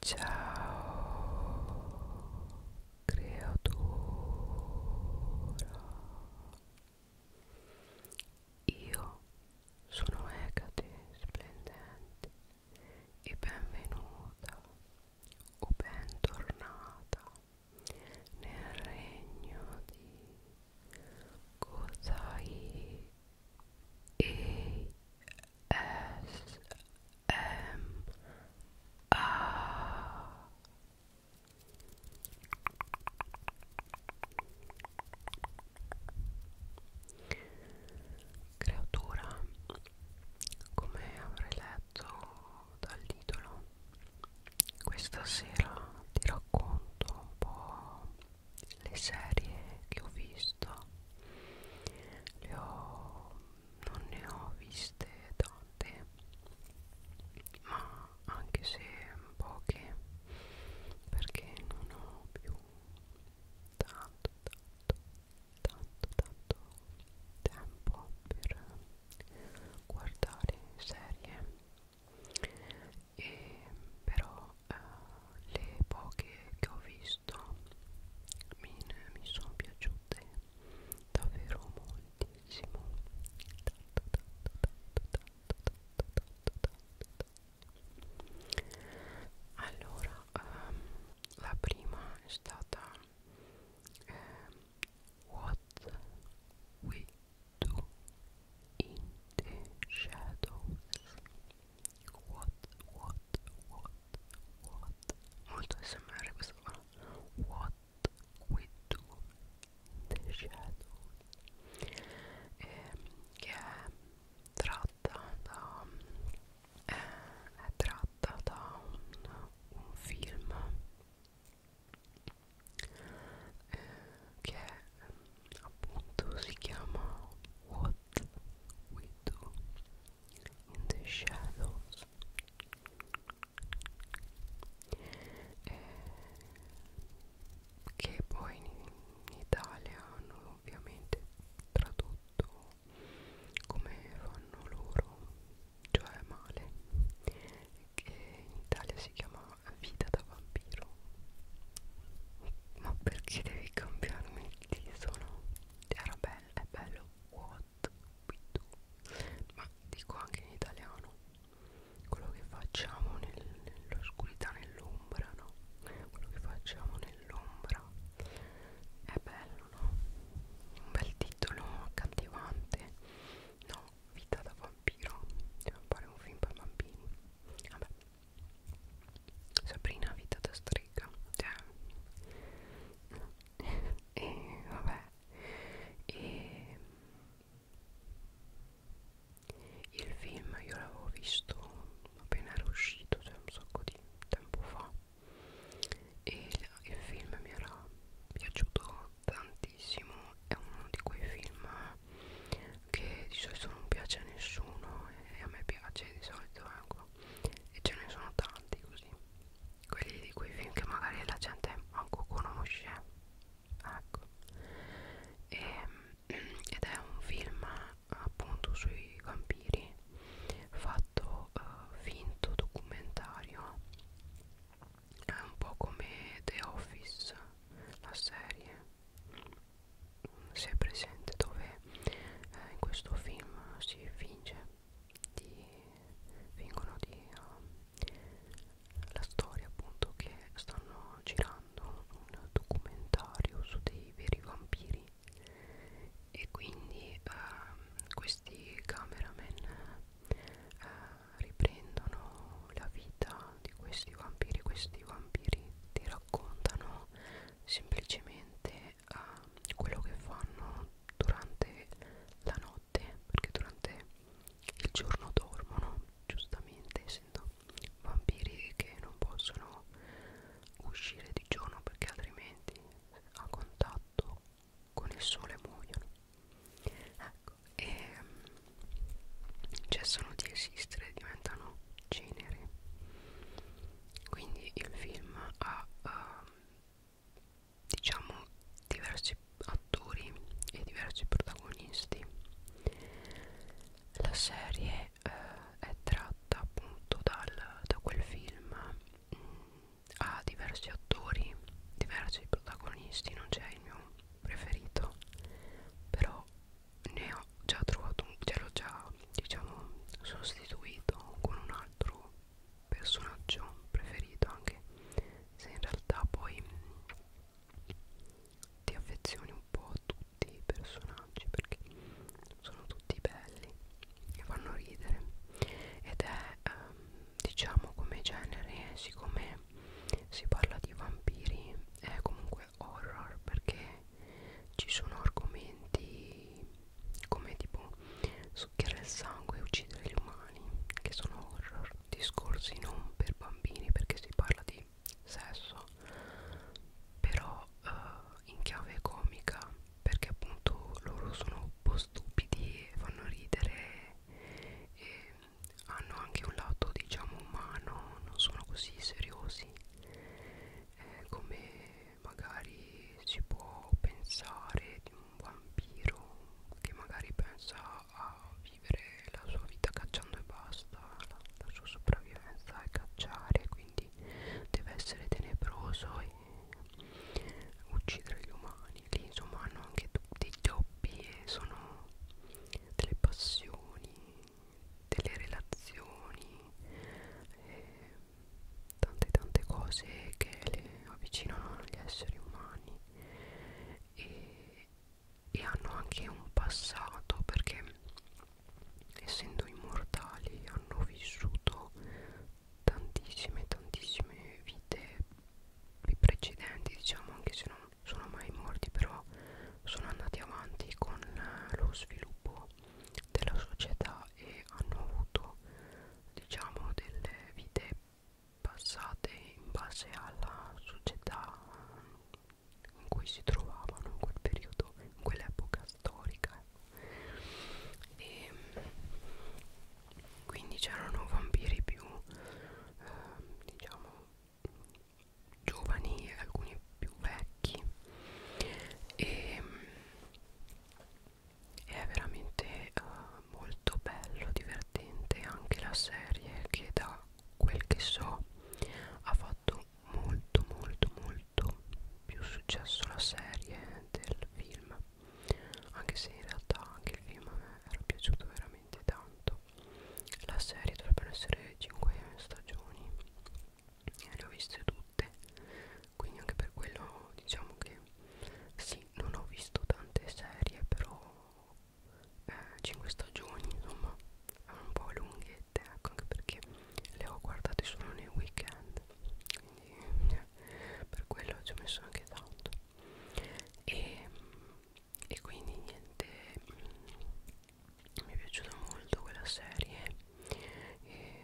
Ciao creatura Io sono Ecate splendente e benvenuta o bentornata nel regno di Kozai e S M A Creatura come avrei letto dall'idolo questa sera ti racconto un po' le serie che ho visto le ho, non ne ho viste tante ma anche se poche perché non ho più tanto tanto tanto tanto tempo per guardare serie e però eh, le poche che ho visto mi, mi sono piaciute davvero moltissimo tanto tanto tanto tanto tanto tanto tanto tanto allora um, la prima è stata um, What We Do in the Shadows What, what, what, what? Molto SMR questo qua. What we do in the shadow. Um, eh, che è tratta da. Eh, è tratta da un, un film eh, che appunto si chiama What We Do in the shadows eh, che poi in Italia hanno ovviamente tradotto come fanno loro cioè male che in Italia si chiama vita da vampiro ma perché devi cambiarmi il titolo? era bello, è bello what we do ma dico anche in italiano quello che facciamo nel, nell'oscurità nell'ombra no quello che facciamo nell'ombra è bello no un bel titolo accattivante no vita da vampiro dobbiamo fare un film per bambini vabbè Sabrina vita da strega cioè. e vabbè e il film io l'avevo visto appena era uscito cioè un sacco di tempo fa e il film mi era piaciuto tantissimo è uno di quei film che di solito non piace a nessuno e a me piace di solito è ecco e ce ne sono tanti così quelli di quei film che magari la gente manco conosce ecco e, ehm, ed è un film appunto sui vampiri fatto uh, finto documentario è un po' come The Office la serie se è presente dove eh, in questo film si finge di fingono di uh, la storia appunto che stanno girando un documentario su dei veri vampiri e quindi uh, questi cameraman uh, riprendono la vita di questi vampiri questi vampiri ti raccontano semplicemente uh, quello che fanno durante la notte perché durante il giorno dormono giustamente essendo vampiri che non possono uscire di giorno perché altrimenti a contatto con il sole muoiono ecco e ehm, cessano di esistere diventano cenere quindi il film ha uh, diciamo diversi attori e diversi protagonisti la serie uh, è tratta appunto dal, da quel film mm, ha diversi attori diversi protagonisti non c'è il mio preferito però ne ho già trovato un l'ho già diciamo sostituito con un altro personaggio preferito anche se in realtà poi mm, ti affezioni un po' a tutti i personaggi perché sono tutti belli e fanno ridere ed è ehm, diciamo come genere siccome si parla di vampiri è comunque horror perché ci sono argomenti come tipo succhiare il sangue e uccidere gli umani che sono horror discorsi non per bambini perché si parla di sesso però uh, in chiave comica perché appunto loro sono un po' stupidi e fanno ridere e hanno anche un lato diciamo umano non sono così seriosi eh, come magari si può pensare di un vampiro che magari pensa a vivere la sua vita cacciando e basta, la, la sua sopravvivenza è cacciare, quindi deve essere tenebroso e uccidere gli umani. Lì insomma hanno anche dei doppi e sono delle passioni delle relazioni, eh, tante tante cose che le avvicinano agli esseri umani e, e hanno anche un passato perché essendo immortali hanno vissuto tantissime tantissime vite precedenti diciamo anche se non sono mai morti però sono andati avanti con lo sviluppo della società e hanno avuto diciamo delle vite passate in base alla società in cui si trovavano in quel periodo, in quell'epoca storica ecco. e quindi c'erano vampiri più eh, diciamo giovani e alcuni più vecchi e, è veramente uh, molto bello, divertente anche la serie che da quel che so ha fatto molto molto molto più successo la serie del film anche se in realtà anche il film a me era piaciuto veramente tanto la serie dovrebbero essere 5 stagioni e le ho viste tutte notte quindi anche per quello diciamo che sì non ho visto tante serie però eh, 5 stagioni insomma un po' lunghette ecco anche perché le ho guardate solo nei weekend quindi eh, per quello ci ho messo anche tanto e, e quindi niente mi è piaciuta molto quella serie e,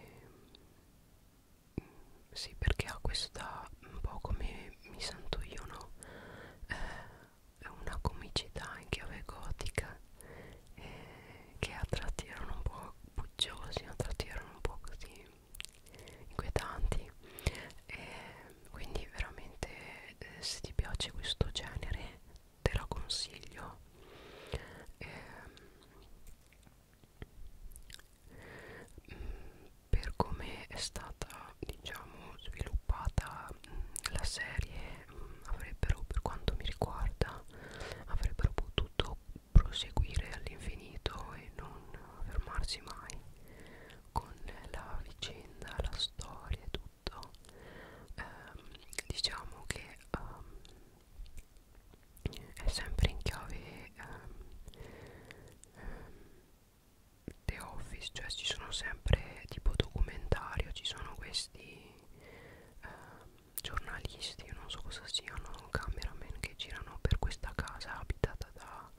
mm, sì perché ha questa un po' come mi sento io no eh, una comicità in chiave gotica eh, che a tratti erano un po' buggiosi a tratti erano un po' così inquietanti e eh, quindi veramente eh, se ti piace questo genere te la consiglio eh, per come è stata diciamo sviluppata la serie avrebbero per quanto mi riguarda avrebbero potuto proseguire all'infinito e non fermarsi mai con la vicenda, la storia e tutto ehm, diciamo che ehm, è sempre in chiave um, um, The Office cioè ci sono sempre tipo documentario ci sono questi um, giornalisti io non so cosa siano cameraman che girano per questa casa abitata da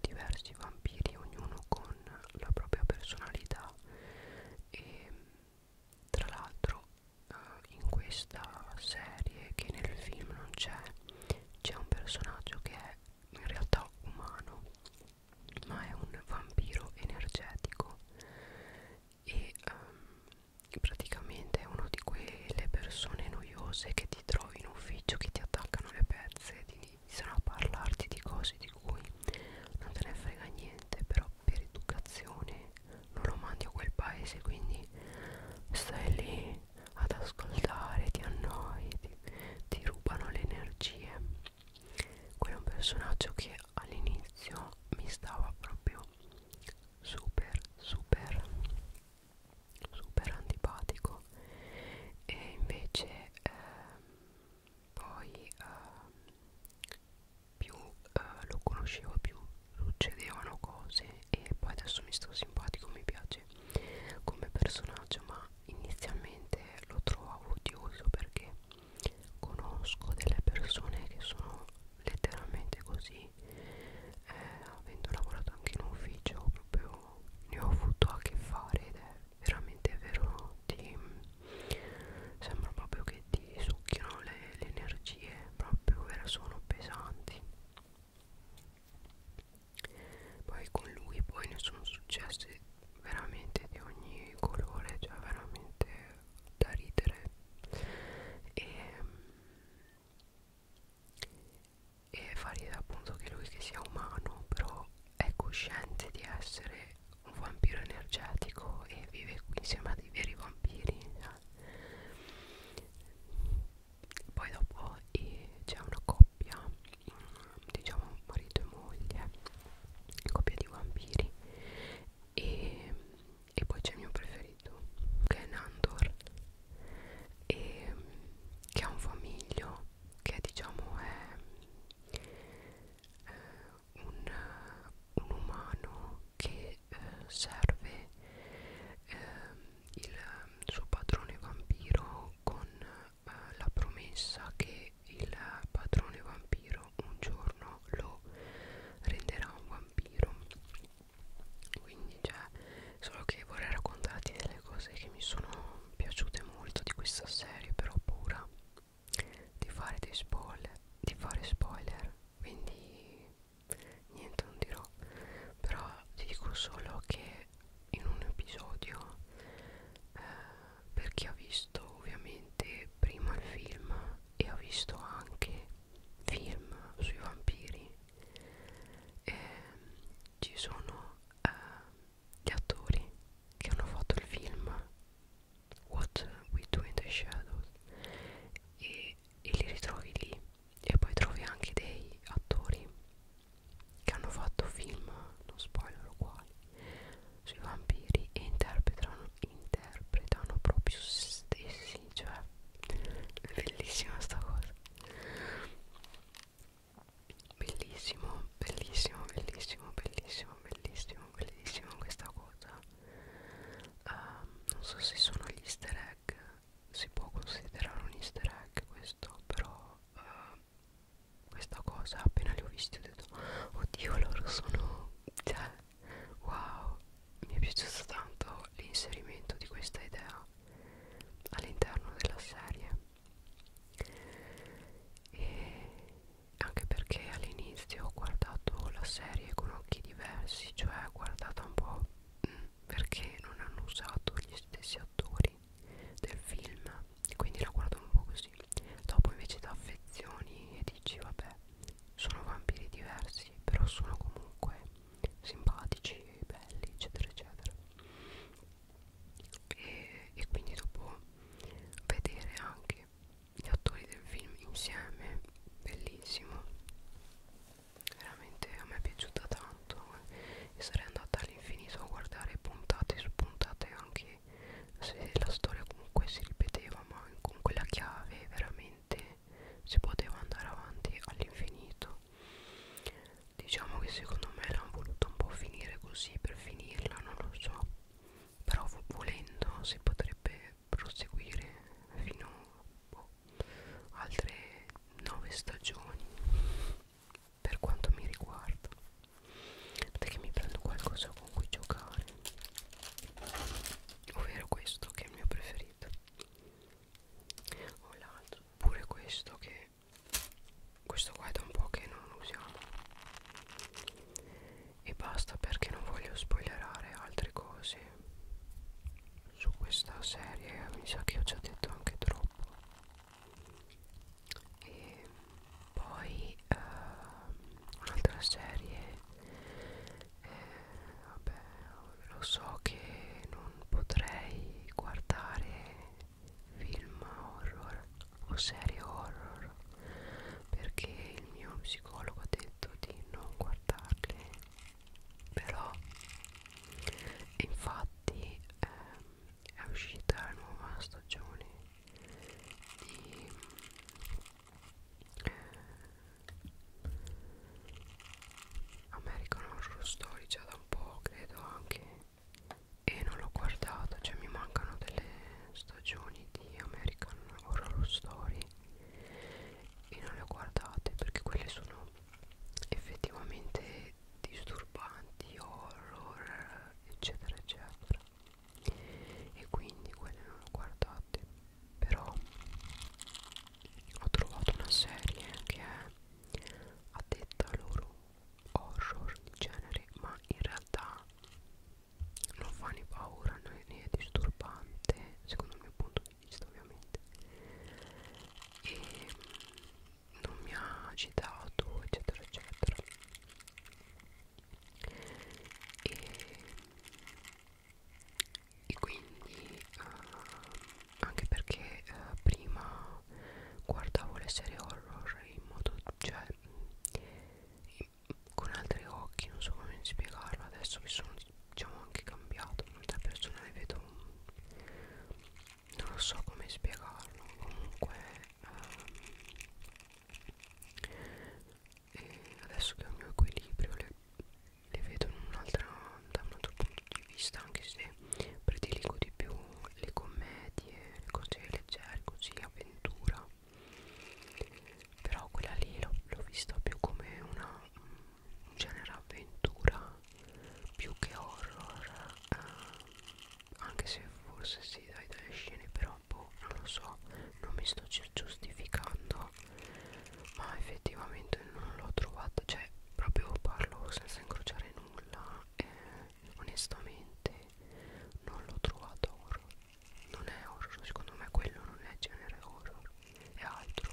diversi vampiri ognuno con la propria personalità e tra l'altro uh, in questa serie che nel film non c'è c'è un personaggio che è in realtà umano ma è un vampiro energetico e um, praticamente è uno di quelle persone noiose che ti trovi in ufficio che ti attaccano le pezze ti iniziano a parlarti di cose di cui non te ne frega niente però per educazione non lo mandi a quel paese quindi stai lì ad ascoltare ti annoi ti, ti rubano le energie quello è un personaggio che all'inizio mi stava proprio super super super antipatico e invece eh, poi eh, più eh, lo conoscevo più succedevano cose e poi adesso mi sto simpatico mi piace come personaggio ma inizialmente lo trovavo odioso perché conosco delle persone che sono letteralmente così eh, avendo lavorato anche in un ufficio proprio ne ho avuto a che fare ed è veramente vero ti sembra proprio che ti succhiano le, le energie proprio e sono pesanti poi con lui poi ne sono successi veramente di ogni colore cioè veramente da ridere e, e fa ridere appunto che lui che sia umano però è cosciente di essere un vampiro energetico e vive qui insieme a dei veri vampiri eh. poi dopo eh, c'è una coppia mm, diciamo marito e moglie coppia di vampiri e, e poi c'è il mio preferito che è Nandor e, che ha un famiglio che diciamo è eh, un, un umano che eh, serve eh, il suo padrone vampiro con eh, la promessa che il padrone vampiro un giorno lo renderà un vampiro quindi cioè solo che vorrei raccontarti delle cose che mi sono piaciute molto di questa serie però ho paura di fare dei spoiler di fare spoiler quindi niente non dirò però ti dico solo che in un episodio eh, per chi ha visto ovviamente prima il film e ha visto anche film sui vampiri eh, ci sono eh, gli attori che hanno fatto il film What We Do in the Shadows e, e li ritrovi lì e poi trovi anche dei attori che hanno fatto film, non spoiler quali, sui vampiri e interpretano, interpretano proprio se stessi, cioè è bellissima sta cosa bellissimo bellissimo bellissimo bellissimo bellissimo bellissimo questa cosa uh, non so se sono gli easter egg si può considerare un easter egg questo però uh, questa cosa appena li ho visti ho detto oddio loro sono cioè wow mi è piaciuto tanto l'inserimento di questa idea all'interno della serie e anche perché all'inizio ho guardato la serie con occhi diversi cioè guardata un po' mm, perché non hanno usato gli stessi attori del film quindi la guardo un po' così dopo invece ti affezioni e dici vabbè sono vampiri diversi però sono comunque simpatici belli eccetera eccetera e, e quindi dopo vedere anche gli attori del film insieme bellissimo veramente a me è piaciuta tanto eh. e sarei andata all'infinito a guardare puntate su puntate anche se la storia comunque si ripeteva ma con quella chiave veramente si poteva andare avanti all'infinito diciamo che secondo me l'hanno voluta un po' finire così per finirla non lo so però volendo si potrebbe proseguire fino boh, altre nove stagioni per quanto mi riguarda perché mi prendo qualcosa con cui giocare ovvero questo che è il mio preferito o l'altro pure questo che questo qua è da un po' che non lo usiamo e basta perché non voglio spoilerare altre cose su questa serie mi sa che ho già detto anche troppo e poi uh, un'altra serie eh, vabbè lo so che non potrei guardare film horror o serie horror perché il mio psicologo ha detto di non guardarle però infatti ehm, è uscita la nuova stagione di eh, American Horror Story già da un po' credo anche e non l'ho guardato cioè mi mancano delle stagioni di American Horror Story e non le ho guardate perché quelle sono effettivamente disturbanti, horror, eccetera, eccetera. E quindi quelle non le ho guardate. Però ho trovato una serie che è addetta loro horror di genere, ma in realtà non fa né paura né, né è disturbante secondo il mio punto di vista ovviamente e mm, non mi ha agitato eccetera eccetera e, e quindi uh, anche perché uh, prima guardavo le serie horror in modo cioè in, mm, con altri occhi non so come spiegarlo adesso mi sono diciamo anche cambiato molte persone le vedo non so come spiegarlo comunque ehm, e adesso che ho il mio equilibrio le, le vedo in un'altra da un altro punto di vista anche se prediligo di più le commedie le cose leggere così avventura però quella lì l'ho vista più come una un genere avventura più che horror eh, anche se forse si sì, dai delle scene però boh, non lo so non mi sto giustificando ma effettivamente non l'ho trovata cioè proprio parlo senza incrociare nulla eh, onestamente non l'ho trovata horror non è horror secondo me quello non è genere horror è altro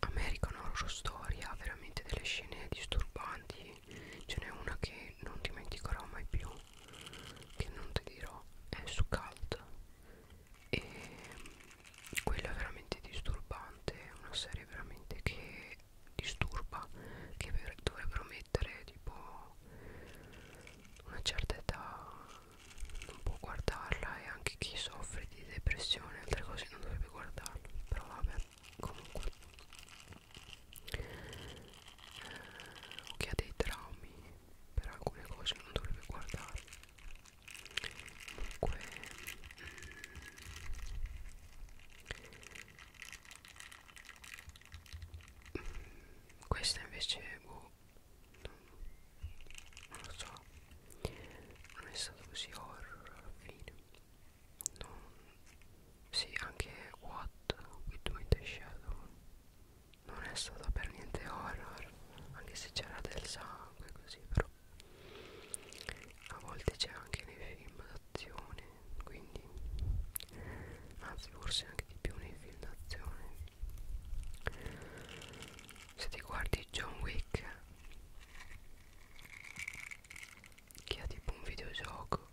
American Horror Story ha veramente delle scene disturbanti ce n'è una che non dimenticherò mai più che non ti dirò è su Cult e quella è veramente disturbante è una serie veramente che disturba che dovrebbero mettere tipo una certa età non può guardarla e anche chi soffre di depressione e altre cose non dovrebbe guardarla però vabbè comunque eh, o chi ha dei traumi per alcune cose non dovrebbe guardarli comunque mm, questa invece boh, non lo so non è stato così horror alla fine non, sì anche What With Me The Shadow non è stato per niente horror anche se c'era del sangue così però a volte c'è anche nei film da d'azione quindi anzi forse anche di più nei film d'azione se ti guardi John Wick che ha tipo un videogioco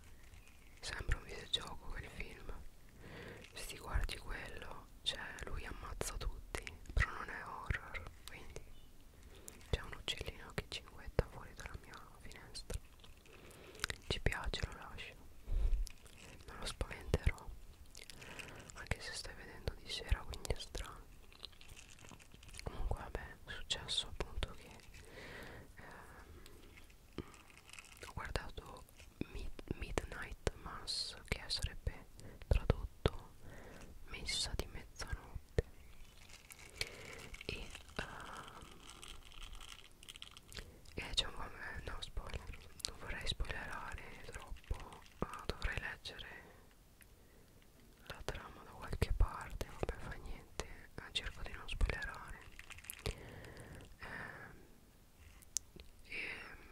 sembra un videogioco quel film se ti guardi quello cioè lui ammazza tutti però non è horror quindi c'è un uccellino che cinguetta fuori dalla mia finestra ci piace lo lascio non lo spaventerò anche se stai vedendo di sera quindi è strano comunque vabbè è successo appunto che ehm, ho guardato Mid Midnight Mass che sarebbe tradotto messa di mezzanotte e uh, c'è un po' no spoiler non vorrei spoilerare troppo uh, dovrei leggere la trama da qualche parte vabbè fa niente cerco di non spoilerare eh,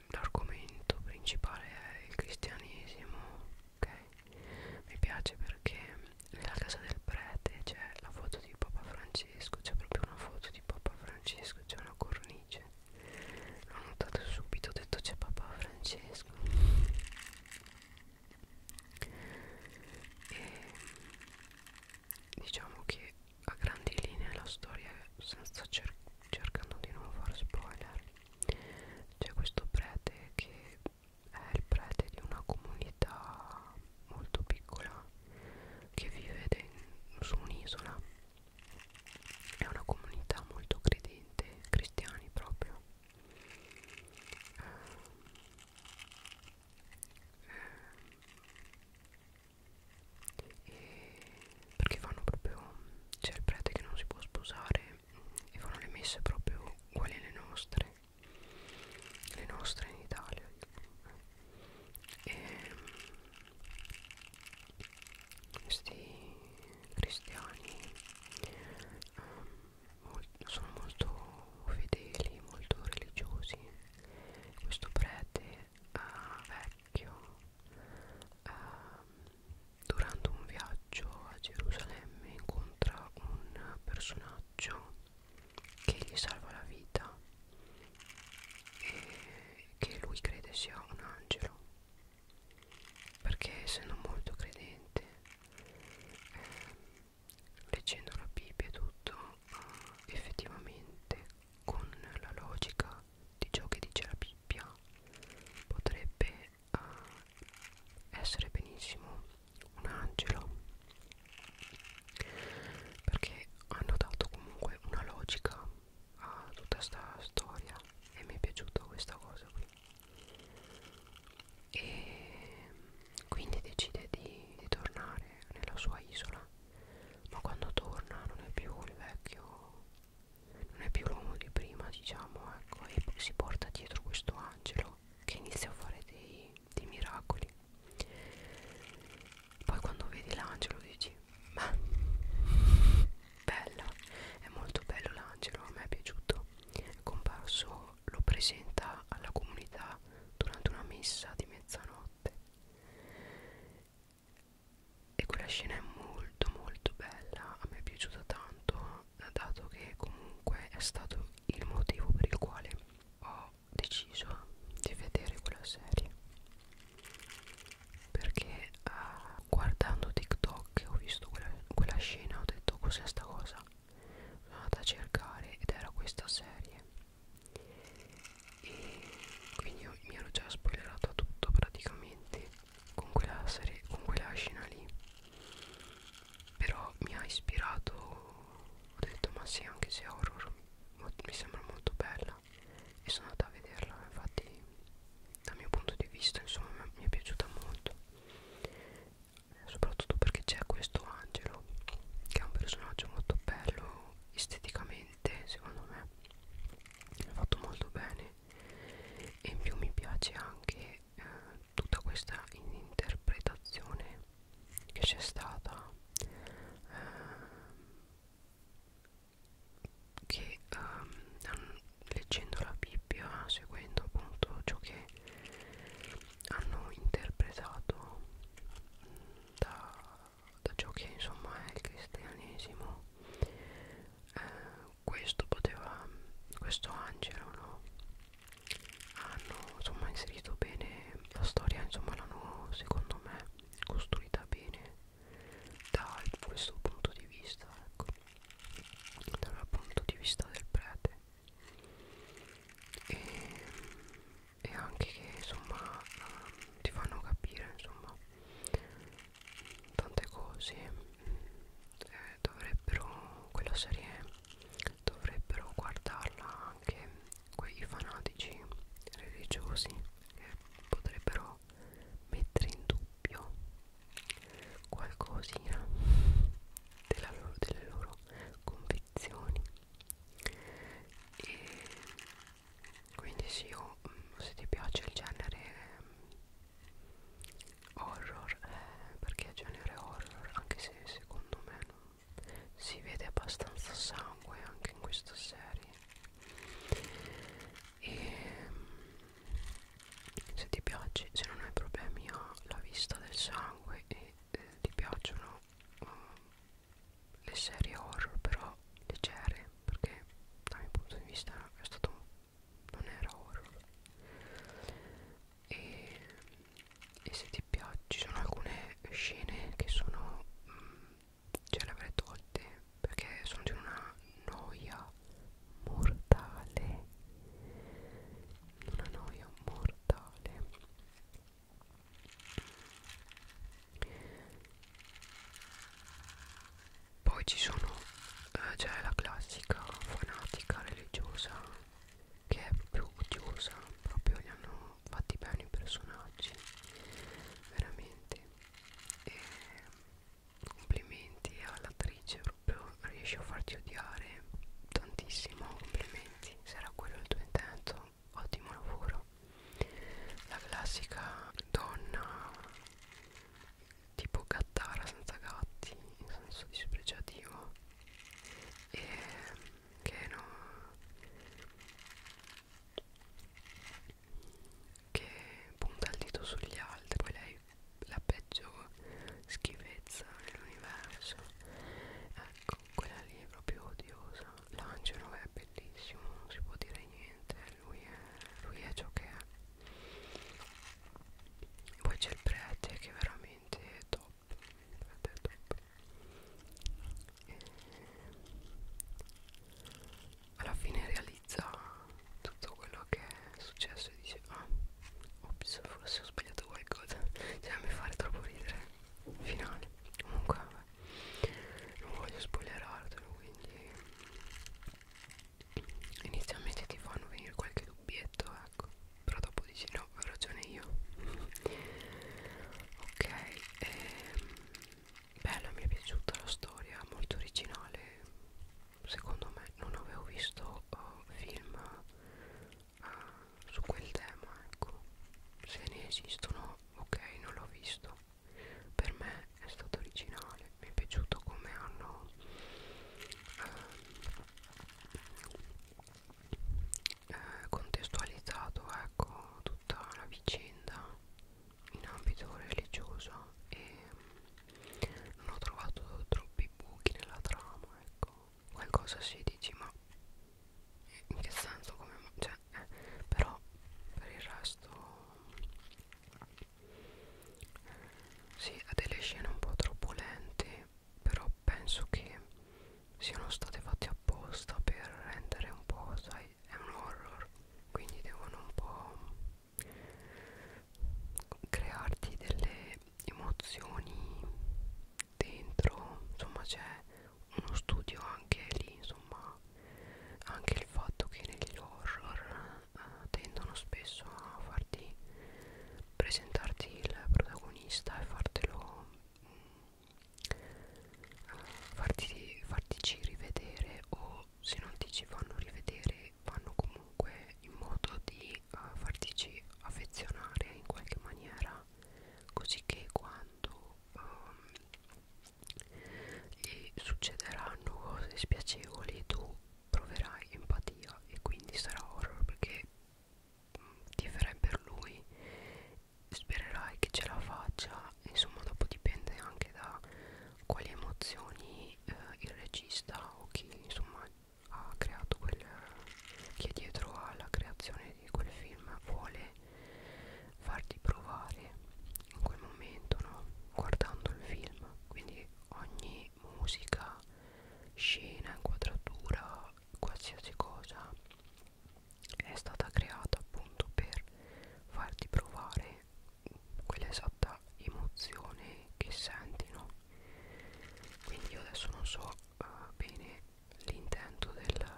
l'argomento principale è il cristianesimo ok mi piace perché nella casa del prete c'è la foto di Papa Francesco, c'è proprio una foto di Papa Francesco, c'è una cornice. L'ho notato subito, ho detto c'è Papa Francesco. E diciamo che a grandi linee la storia, senza cer cercando di non far spoiler, c'è questo prete che è il prete di una comunità molto piccola che vive su un'isola è una comunità molto credente cristiani proprio e eh, eh, perché fanno proprio c'è il prete che non si può sposare e fanno le messe proprio quelle le nostre le nostre in Italia e ehm, questi cristiani um, sono molto fedeli, molto religiosi questo prete uh, vecchio uh, durante un viaggio a Gerusalemme incontra un personaggio che gli salva la vita e che lui crede sia un angelo perché essendo molto credente eh, leggendo la Bibbia e tutto eh, effettivamente con la logica di ciò che dice la Bibbia potrebbe eh, essere benissimo un angelo perché hanno dato comunque una logica a tutta questa storia e mi è piaciuta questa cosa qui e quindi decide di, di tornare nella sua isola ma quando torna non è più il vecchio non è più l'uomo di prima diciamo ecco e si porta dietro questo angelo che inizia a fare dei dei miracoli poi quando vedi l'angelo dici ma bella è molto bello l'angelo a me è piaciuto è comparso lo presenta alla comunità durante una messa di mezzanotte e quella scena è molto molto bella a me è piaciuta tanto dato che comunque è stato il motivo per il quale ho deciso di vedere quella serie perché uh, guardando TikTok ho visto quella, quella scena ho detto cos'è sta cosa sono andata a cercare ed era questa serie e quindi io, mi ero già spoilerato tutto praticamente con quella serie con quella scena lì però mi ha ispirato ho detto ma sì anche se è horror mi sembra molto bella e sono andata a vederla infatti dal mio punto di vista insomma mi è piaciuta molto soprattutto perché c'è questo angelo che è un personaggio molto bello esteticamente secondo me è fatto molto bene e in più mi piace anche eh, tutta questa interpretazione che c'è stata eh, che um, leggendo la Bibbia seguendo appunto ciò che hanno interpretato mm, da, da ciò che insomma è il cristianesimo eh, questo poteva questo angelo no hanno ah, insomma inserito bene la storia insomma l'hanno secondo me costruita bene da questo punto di vista ecco dal punto di vista del prete e, e anche che insomma ehm, ti fanno capire insomma tante cose eh, dovrebbero quella serie dovrebbero guardarla anche quei fanatici religiosi che potrebbero mettere in dubbio qualcosina della loro, delle loro convinzioni e quindi sì io, mm, se ti piace il genere mm, horror eh, perché è genere horror anche se secondo me non si vede abbastanza sangue anche in questa serie e se ti piace se non hai problemi alla vista del sangue e eh, ti piacciono uh, le serie horror però leggere perché dal mio punto di vista è stato non era horror e, e se ti piace ci sono alcune scene che sono mh, mm, ce le avrei tolte perché sono di una noia mortale una noia mortale poi ci sono eh, c'è la classica fanatica religiosa che è proprio chiusa proprio li hanno fatti bene i personaggi veramente e complimenti all'attrice proprio riesce a farti odiare tantissimo complimenti se era quello il tuo intento ottimo lavoro la classica donna tipo gattara senza gatti in senso dispregiativo e che no che punta il dito sugli altri poi lei la peggio schifezza dell'universo ecco quella lì è proprio odiosa l'angelo è bellissimo non si può dire niente lui è, lui è ciò che è poi c'è il prete che è veramente top vedete alla fine realizza tutto quello che è successo e dice ah ops forse ho sbagliato qualcosa cioè a me fare troppo ridere finale comunque vabbè non voglio spoilerartelo quindi inizialmente ti fanno venire qualche dubbietto ecco però dopo dici no ho ragione io ok ehm, bella mi è piaciuta la storia molto originale secondo me non avevo visto oh, film ah, su quel tema ecco se ne esistono ok non l'ho visto per me è stato originale mi è piaciuto come hanno ehm, eh, contestualizzato ecco tutta la vicenda in ambito religioso e mm, non ho trovato troppi buchi nella trama ecco qualcosa si dici ma in che senso come cioè, eh, però per il resto mm, sì ha delle scene un po' troppo lente però penso che siano state fatte apposta per rendere un po', sai, è un horror, quindi devono un po' crearti delle emozioni dentro, insomma c'è uno studio anche lì, insomma, anche il fatto che negli horror eh, tendono spesso a farti presentarti il protagonista e fartelo mm, farti, fartici rivedere o se non ti ci fanno rivedere fanno comunque in modo di uh, eh, fartici affezionare in qualche maniera così che quando um, gli succederanno cose spiacevoli tu proverai empatia e quindi sarà horror perché ti farai per lui spererai che ce la faccia insomma dopo dipende anche da quali emozioni eh, il regista o chi insomma ha creato quel che è dietro alla creazione di quel film vuole farti provare in quel momento no guardando il film quindi ogni quindi musica, scena, inquadratura, qualsiasi cosa è stata creata appunto per farti provare quell'esatta emozione che senti, no? Quindi io adesso non so uh, bene l'intento del,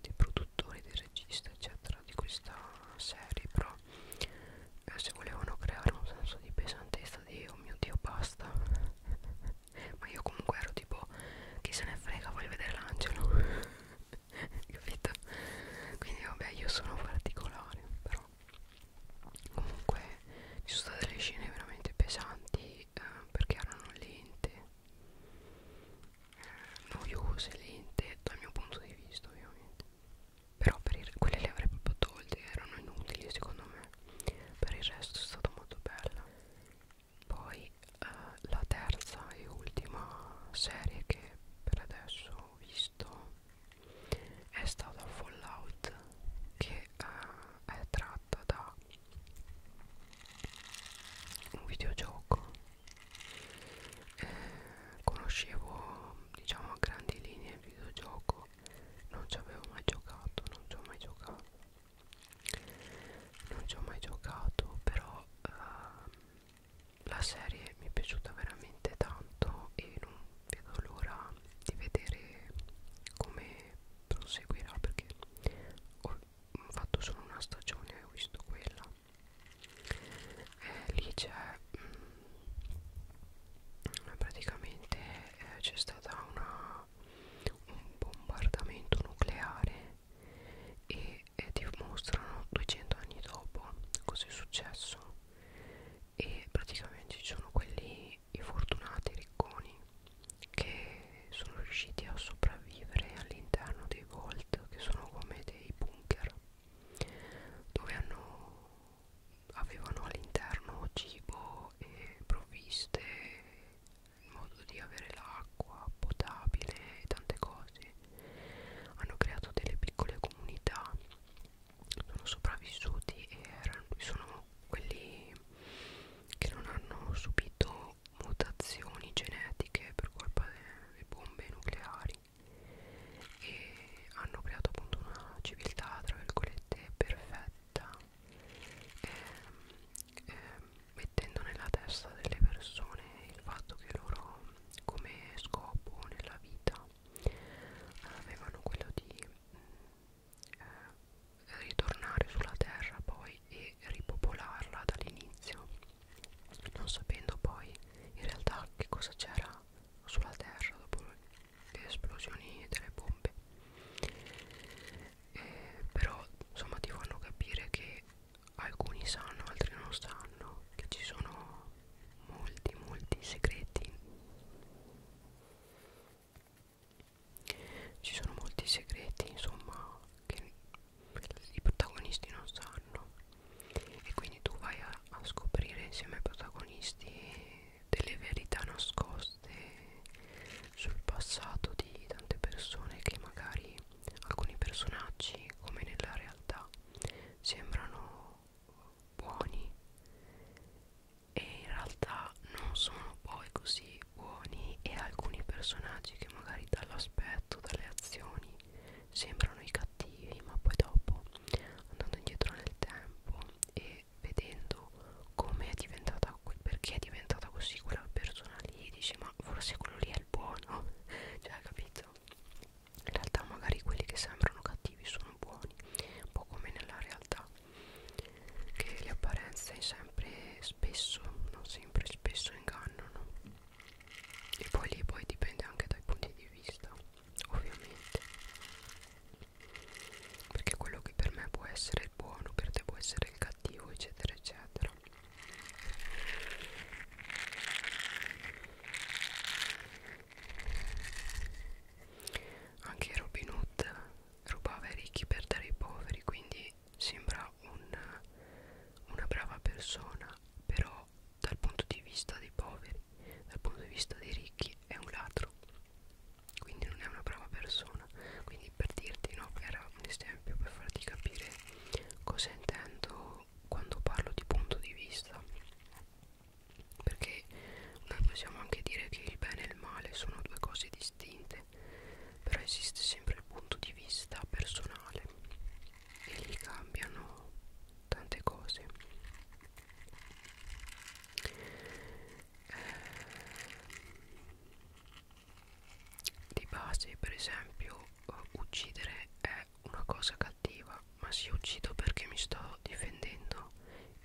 del produttore, del regista, eccetera, di questa serie, però eh, se volevano creare un senso di pesantezza di oh mio dio basta ma io comunque ero tipo chi se ne frega voglio vedere l'angelo capito quindi vabbè io sono particolare però comunque ci sono state delle scene veramente pesanti eh, perché erano lente eh, noiose lente dal mio punto di vista ovviamente però per il, quelle le avrei proprio tolte erano inutili secondo me per il resto è stata molto bella poi eh, la terza e ultima serie che per adesso ho visto è stata Fallout che eh, è tratta da un videogioco eh, conoscevo diciamo a grandi linee il videogioco non ci avevo mai giocato non ci ho mai giocato non ci ho mai giocato però uh, la serie mi è piaciuta veramente tanto e non vedo l'ora di vedere come proseguirà perché ho fatto solo una stagione e ho visto quella eh, lì c'è mm, praticamente eh, c'è stata una un bombardamento nucleare e, e ti mostrano 200 anni dopo cosa è successo e praticamente ci sono quelli i fortunati ricconi che sono riusciti a sopravvivere all'interno dei vault che sono come dei bunker dove hanno avevano all'interno cibo e provviste il modo di avere l'acqua potabile e tante cose hanno creato delle piccole comunità sono sopravvissuti e erano, sono quelli che non hanno subito mutazioni genetiche per colpa delle bombe nucleari e hanno creato appunto una civiltà tra virgolette perfetta eh, eh, mettendo nella testa delle persone il fatto che loro come scopo nella vita avevano quello di mm, eh, ritornare sulla terra poi e ripopolarla dall'inizio non sapendo poi in realtà che cosa c'era sulla terra dopo le esplosioni delle bombe eh, però insomma ti fanno capire che alcuni sanno altri non sanno che ci sono molti molti segreti ci sono molti segreti insomma che i protagonisti non sanno e quindi tu vai a, a scoprire insieme ai protagonisti delle verità nascoste sul passato di tante persone che magari alcuni personaggi come nella realtà sembrano buoni e in realtà non sono poi così buoni e alcuni personaggi che magari dall'aspetto, dalle azioni sembrano i cattivi ma poi dopo andando indietro nel tempo e ve vedendo come è diventata perché è diventata così quella persona lì dice ma forse quello lì è il buono cioè capito in realtà magari quelli che sembrano cattivi sono buoni un po' come nella realtà che le apparenze sempre spesso non sempre spesso ingannano e poi lì poi dipende anche dai punti di vista ovviamente perché quello che per me può essere il buono per te può essere il cattivo eccetera eccetera anche Robin Hood rubava i ricchi per dare ai poveri quindi sembra un, una brava persona però dal punto di vista dei poveri dal punto di vista dei ricchi è un ladro quindi non è una brava persona quindi per dirti no era un esempio per farti capire cosa intendo quando parlo di punto di vista perché noi possiamo anche dire che il bene e il male sono due cose distinte però esiste sempre il punto di vista personale e lì cambiano tante cose di base per esempio eh, uccidere è una cosa cattiva ma se uccido perché mi sto difendendo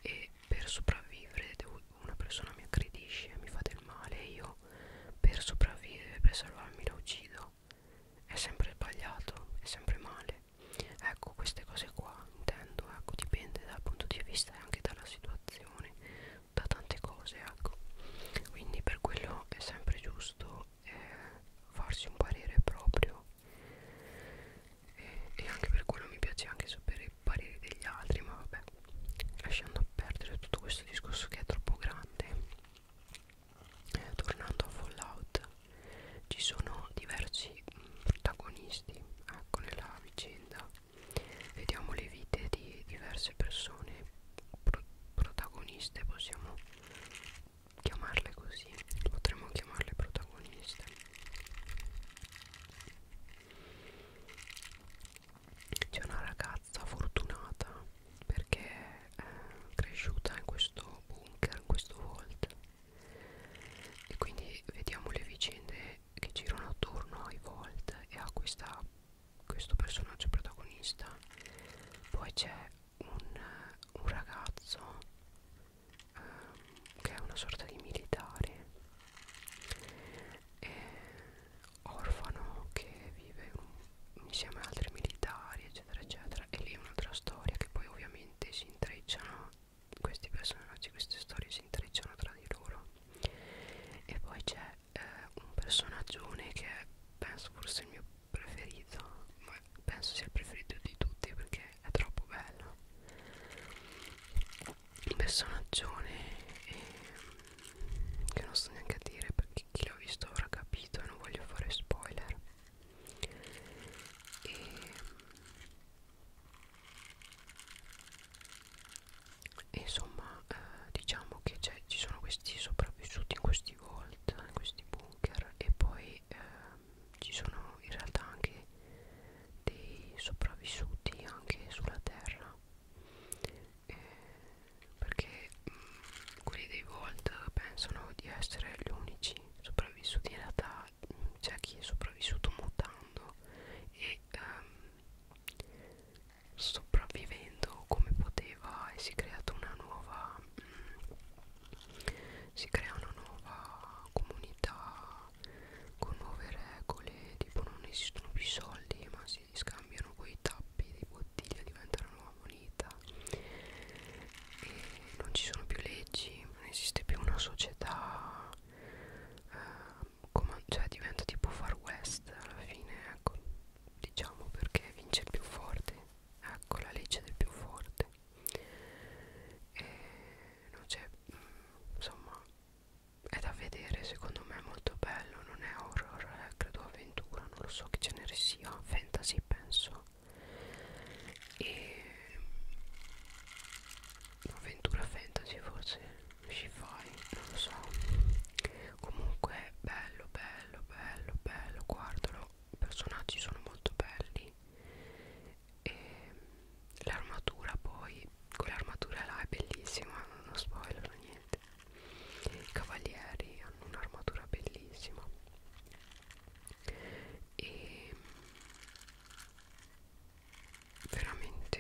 e per sopravvivere una persona mi aggredisce mi fa del male e io per sopravvivere per salvarmi la uccido è sempre sbagliato è sempre male ecco queste cose qua intendo ecco dipende dal punto di vista e anche dalla situazione da tante cose ecco quindi per quello è sempre giusto eh, farsi un parere proprio e, eh, e anche per quello mi piace anche sapere i pareri degli altri ma vabbè lasciando perdere tutto questo discorso che è troppo grande eh, tornando a Fallout ci sono diversi mh, mm, protagonisti ecco nella vicenda vediamo le vite di diverse persone pro protagoniste possiamo chiamarle così potremmo chiamarle protagoniste c'è una ragazza fortunata perché è cresciuta in questo bunker in questo vault e quindi vediamo le vicende che girano attorno ai Volt e a questa, questo personaggio protagonista poi c'è un, un ragazzo um, che è una sorta di militare e orfano che vive un, insieme ad altri militari eccetera eccetera e lì è un'altra storia che poi ovviamente si intrecciano questi personaggi, queste storie si intrecciano tra di loro e poi c'è eh, un personaggione che è, penso forse il mio preferito ma penso sia il preferito di tutti perché è troppo bello un personaggione eh, che non sto neanche a dire perché chi l'ha visto avrà capito e non voglio fare spoiler e e insomma eh, diciamo che ci sono questi sopravvissuti in questi vault in questi bunker e poi eh, ci sono in realtà anche dei sopravvissuti anche sulla terra eh, perché mh, mm, quelli dei vault pensano di essere gli unici sopravvissuti in realtà c'è chi è sopravvissuto mutando e um, sopravvivendo come poteva e si è creata una nuova mm, si crea una nuova comunità con nuove regole tipo non esistono più soldi ma si scambiano quei tappi di bottiglia diventa una nuova moneta e non ci sono più leggi non esiste più una società eh, come, cioè diventa tipo far west alla fine ecco diciamo perché vince il più forte ecco la legge del più forte e non c'è mm, insomma è da vedere secondo me è molto bello non è horror è eh, credo avventura non lo so che genere sia fantasy penso e avventura fantasy forse sci-fi non lo so comunque bello bello bello bello guardalo i personaggi sono molto belli e l'armatura poi quell'armatura là è bellissima non spoiler niente i cavalieri hanno un'armatura bellissima e veramente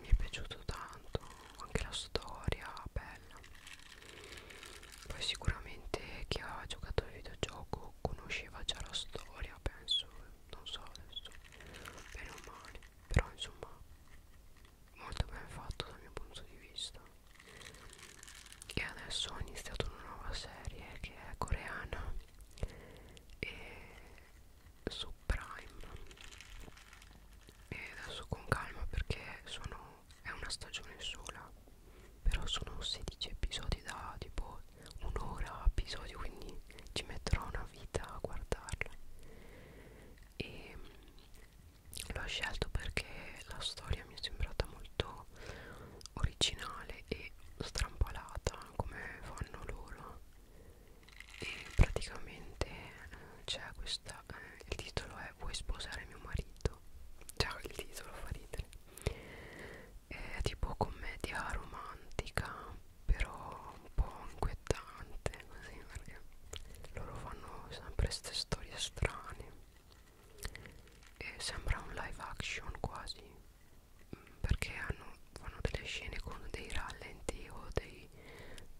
mi è piaciuto tanto anche la storia bella poi sicuramente chi ha giocato al videogioco conosceva già la storia penso non so adesso bene o male però insomma molto ben fatto dal mio punto di vista e adesso ho iniziato una nuova serie che è coreana e su Prime e adesso con calma perché sono è una stagione sola però sono 16 episodi da tipo un'ora a episodio quindi ci metterò una vita a guardarla e l'ho scelto perché la storia mi è sembrata molto originale e strampalata come fanno loro e praticamente eh, c'è questa eh, il titolo è vuoi sposare mio marito già il titolo fa ridere è tipo commedia romantica però un po' inquietante così perché loro fanno sempre queste storie strane e sembra un live action quasi perché hanno, fanno delle scene con dei rallenti o dei,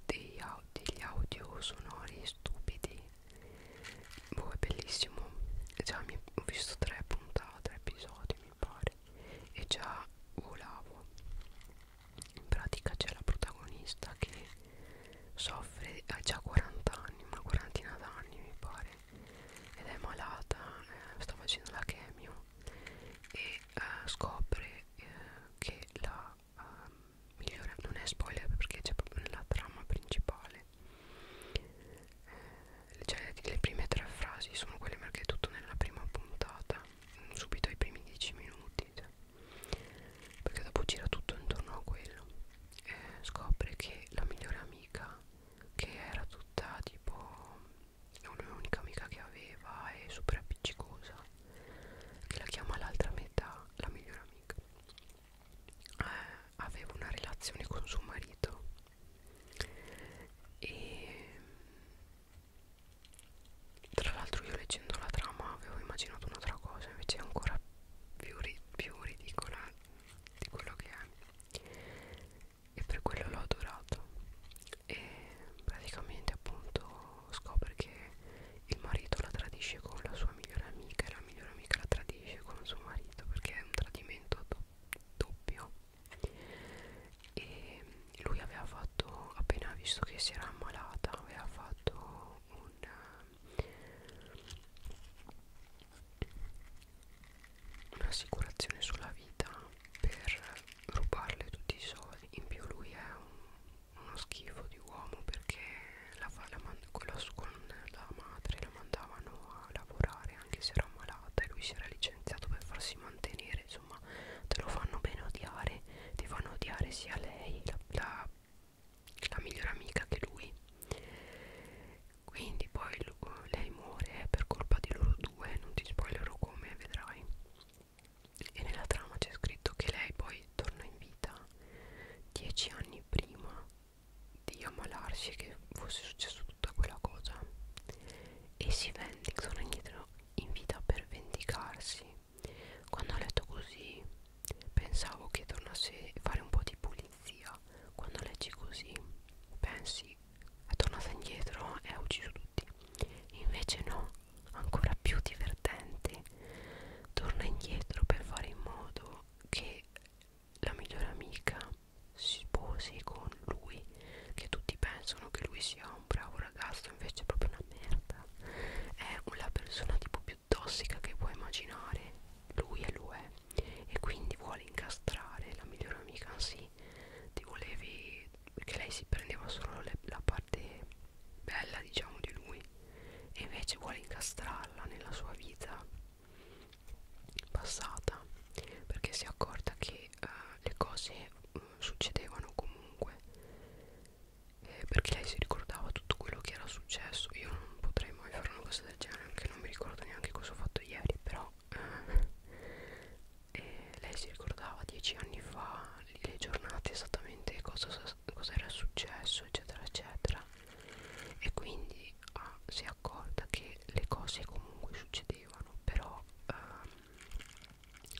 dei, degli audio sonori stupidi boh è bellissimo già mi, ho visto tre puntate episodi mi pare e già volavo in pratica c'è la protagonista che soffre ha già 40 anni una quarantina d'anni mi pare ed è malata, eh, sta facendo la chemio e eh, scopre eh, che la eh, migliore, non è spoiler perché c'è proprio nella trama principale eh, cioè le prime tre frasi sono quelle perché è tutto nella prima puntata subito ai primi dieci minuti cioè, perché dopo gira tutto intorno a quello eh, scopre che la migliore amica che era tutta tipo è un'unica amica che aveva è super appiccicosa che la chiama l'altra metà la migliore amica eh, aveva una relazione con suo marito e tra l'altro io leggendo la trama avevo immaginato un'altra cosa invece è ancora più, ri più ridicola di quello che è e per quello l'ho adorato e praticamente appunto scopre che il marito la tradisce con la sua migliore amica e la migliore amica la tradisce con il suo marito perché è un tradimento do doppio e lui aveva fatto appena visto che si era ammalata aveva fatto un un'assicurazione sulla vita per rubarle tutti i soldi in più lui è un, uno schifo di uomo perché la, la quello con la madre la mandavano a lavorare anche se era malata e lui si era licenziato per farsi mantenere insomma te lo fanno bene odiare ti fanno odiare sia lei la, la la migliore amica che lui quindi poi lui, lei muore per colpa di loro due non ti spoilerò come vedrai e nella trama c'è scritto che lei poi torna in vita dieci anni prima di ammalarsi che fosse successo tutta quella cosa e si vendica torna in vita per vendicarsi quando ho letto così pensavo che tornasse a fare un po' di pulizia quando leggi così pensi è tornata indietro e ha ucciso tutti invece no ancora più divertente torna indietro per fare in modo che la migliore amica si sposi con lui che tutti pensano che lui sia un bravo ragazzo invece è proprio una merda è la persona tipo più tossica che puoi immaginare lui e lo è e quindi vuole incastrare la migliore amica anzi ti volevi perché lei si prendeva solo le, la parte bella diciamo di lui e invece vuole incastrarla nella sua vita passata perché si è accorta che uh, le cose uh, succedevano comunque eh, perché lei si ricordava tutto quello che era successo io non potrei mai fare una cosa del genere anche non mi ricordo neanche cosa ho fatto ieri però e lei si ricordava dieci anni fa le giornate esattamente cosa, cosa era successo eccetera eccetera e quindi ah, si è accorta che le cose comunque succedevano però ehm,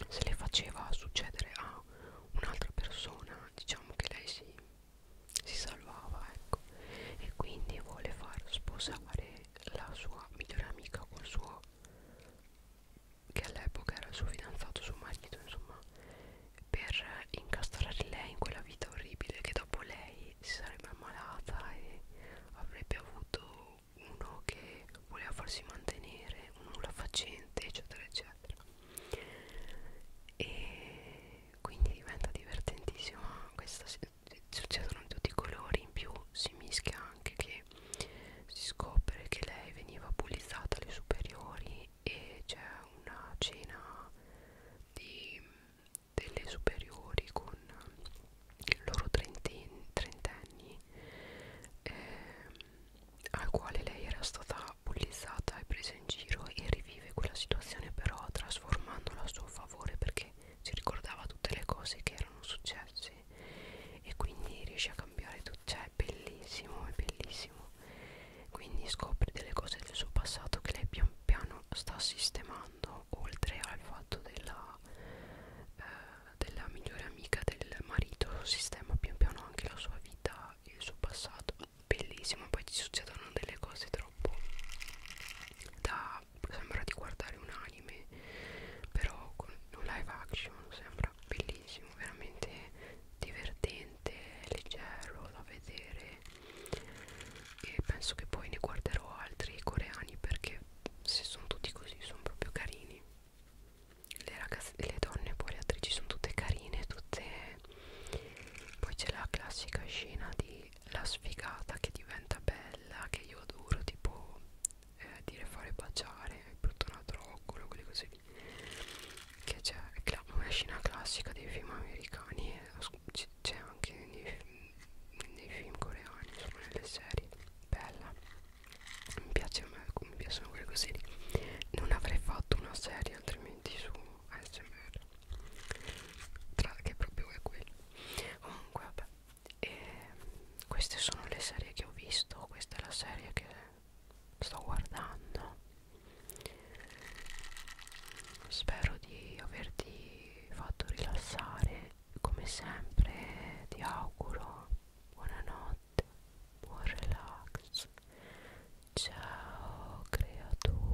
se le faceva succedere a un'altra persona diciamo che lei si, si salvava ecco e quindi vuole far sposare la sua migliore amica col suo che all'epoca era il suo fidanzato, suo marito, insomma, per incastrare lei in quella vita orribile che dopo lei si sarebbe ammalata e avrebbe avuto uno che voleva farsi mantenere, un nulla facente, eccetera, eccetera. E quindi diventa divertentissima questa succedono in tutti i colori in più si mischia anche che si scopre che lei veniva bullizzata alle superiori e c'è una cena di, delle superiori con i loro trentenni, trentenni ehm, al quale lei era stata bullizzata e presa in giro e rivive quella situazione però trasformandola a suo favore perché si ricordava tutte le cose che erano successe e quindi riesce a cambiare tutto, cioè è bellissimo, è bellissimo. Quindi scopre delle cose del suo passato che lei pian piano sta sistemando, oltre al fatto della, eh, della migliore amica del marito, sistema pian piano anche la sua vita e il suo passato. Bellissimo, poi ci succedono delle cose troppo da sembra, sembra di guardare un anime però con un live action sembra bellissimo veramente divertente leggero da vedere e penso che poi ne guarderò altri coreani perché se sono tutti così sono proprio carini le, ragazze, le donne poi le attrici sono tutte carine tutte poi c'è la classica scena di poi la sfigata che diventa bella che io adoro tipo eh, dire fare baciare il bruttonato oculo quelle cose lì che c'è una scena classica dei film americani e c'è anche nei, nei film coreani sono nelle serie bella mi piace a me mi piacciono quelle cose lì non avrei fatto una serie altrimenti su ASMR tra che proprio è quello comunque vabbè e queste sono le serie che ho visto questa è la serie che sto guardando spero di averti fatto rilassare come sempre ti auguro buonanotte buon relax ciao creatura